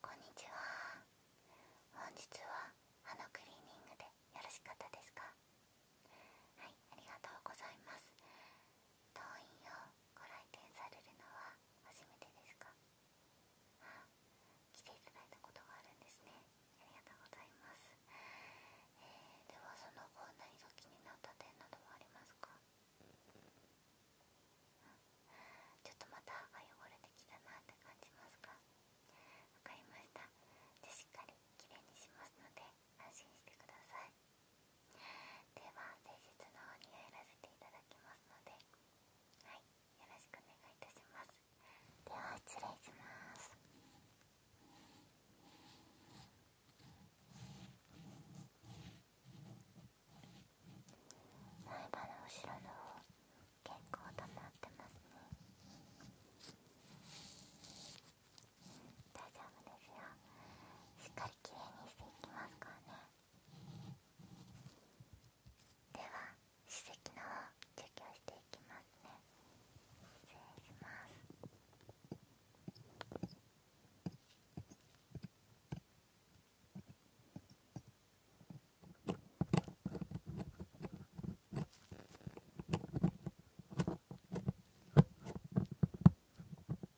こんにちは本日は歯のクリーニングでよろしかったですかはいありがとうございます党員をご来店されるのは初めてですか来ていただいたことがあるんですねありがとうございます、えではその後何が気になった点などはありますかちょっとまた汚れてきたなって感じますかわかりましたじゃあしっかりきれいにしますので安心してくださいでは前日の方にやらせていただきますのではいよろしくお願いいたしますでは失礼します前歯の後ろの方結構溜まってますね大丈夫ですよしっかりきれいにしていきますからねでは歯石の方除去していきますね失礼します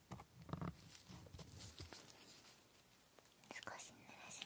少し濡らしますね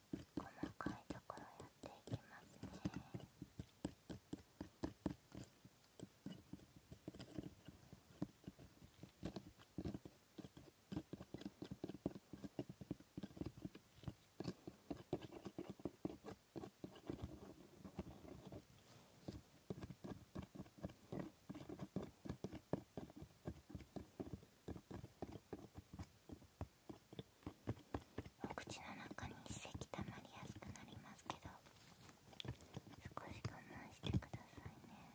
細かいところやっていきますねお口の中に一石たまりやすくなりますけど少し我慢してくださいね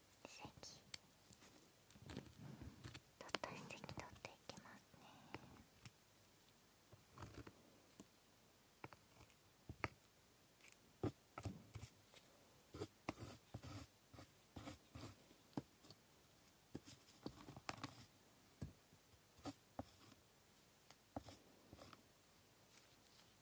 石取った石取っていきますねこ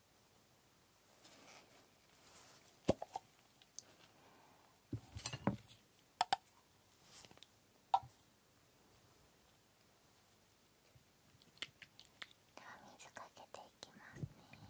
では水かけていきますね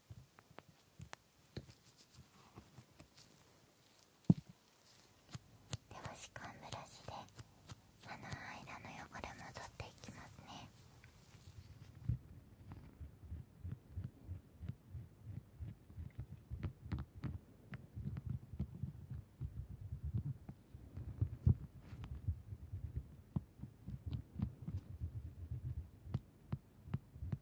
では歯間ブラシで歯の間の汚れ戻っていきますね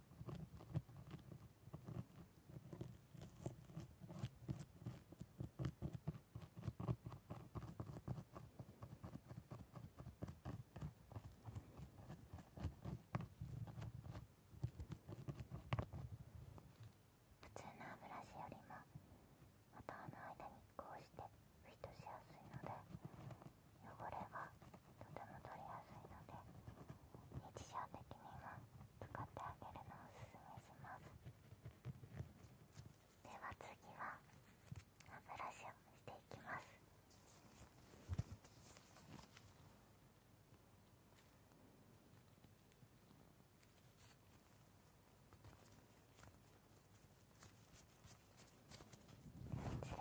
普通の歯ブラシよりも頭の間にこうしてフィットしやすいので汚れがとても取りやすいので日常的には使ってあげるのをおすすめしますでは次は歯ブラシをしていきます失礼いたしますお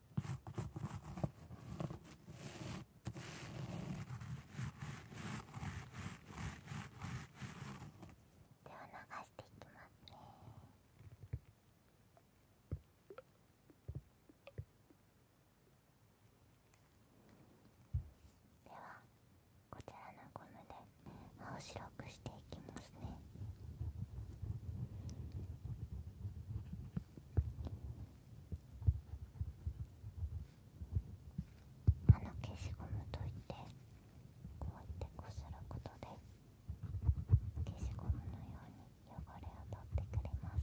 では流していきますね。ではこちらのゴムで青白くしていきますねあの消しゴムといってこうやってこすることで消しゴムのように汚れを取ってくれます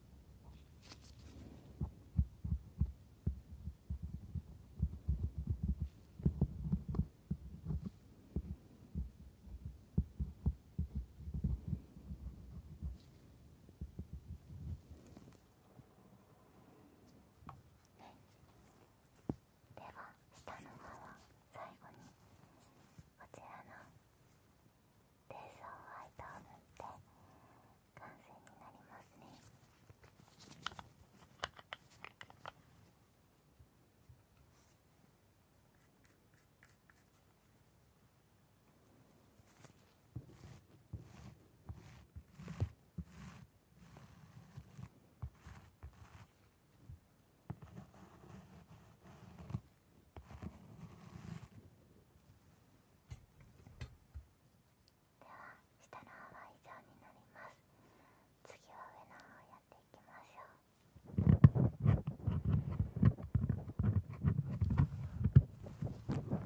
では下の側最後にこちらの冷蔵ホトを塗って完成になりますねでは下の方は以上になります次は上の方をやっていきましょう上の方は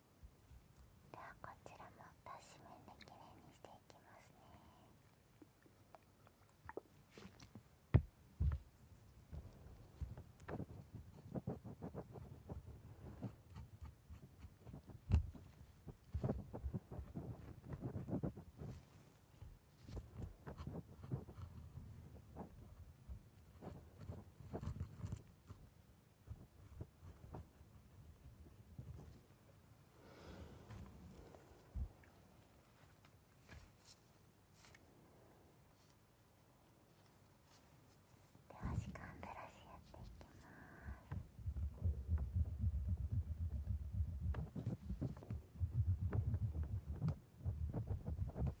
ではこちらも出し面できれいにしていきますねこでは時間ブラシやっていきます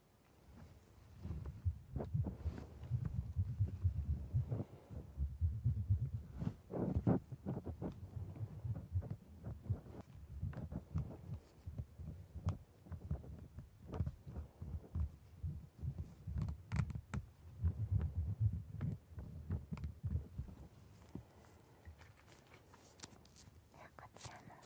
こちらの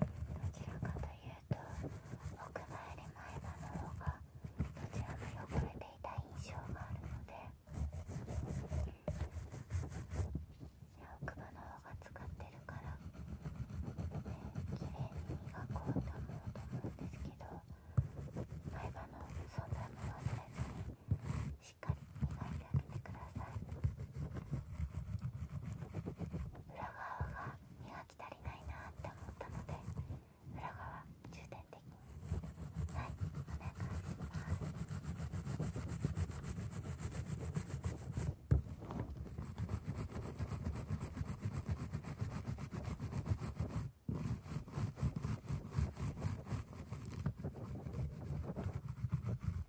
どちらかというと奥歯より前歯の方がどちらも汚れていた印象があるので奥歯の方が使ってるから、ね、綺麗に磨こうと思うと思うんですけど前歯の存在も忘れずにしっかり磨いてあげてください。裏側が磨き足りないなって思ったので裏側重点的にはいお願いします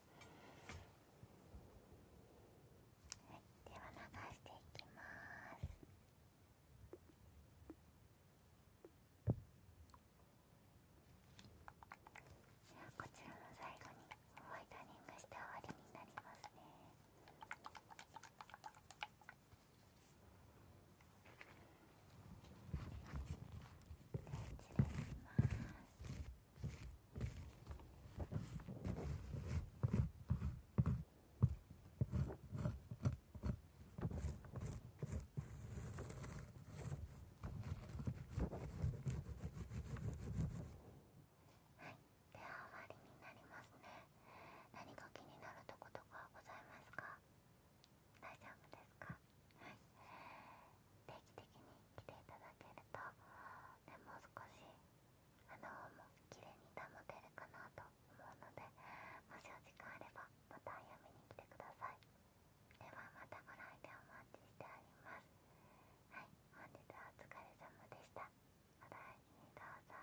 はい、では流していきますじゃあ、こちらの最後にホワイトニングして終わりになりますね失礼しますはいでは終わりになりますね何か気になるとことかございますか大丈夫ですかはい定期的に来ていただけると、でもう少し花をも綺麗に保てるかなと思うのでもしお時間あればまたやみに来てくださいではまたご来店お待ちしておりますはい本日はお疲れ様でしたお大事にどうぞ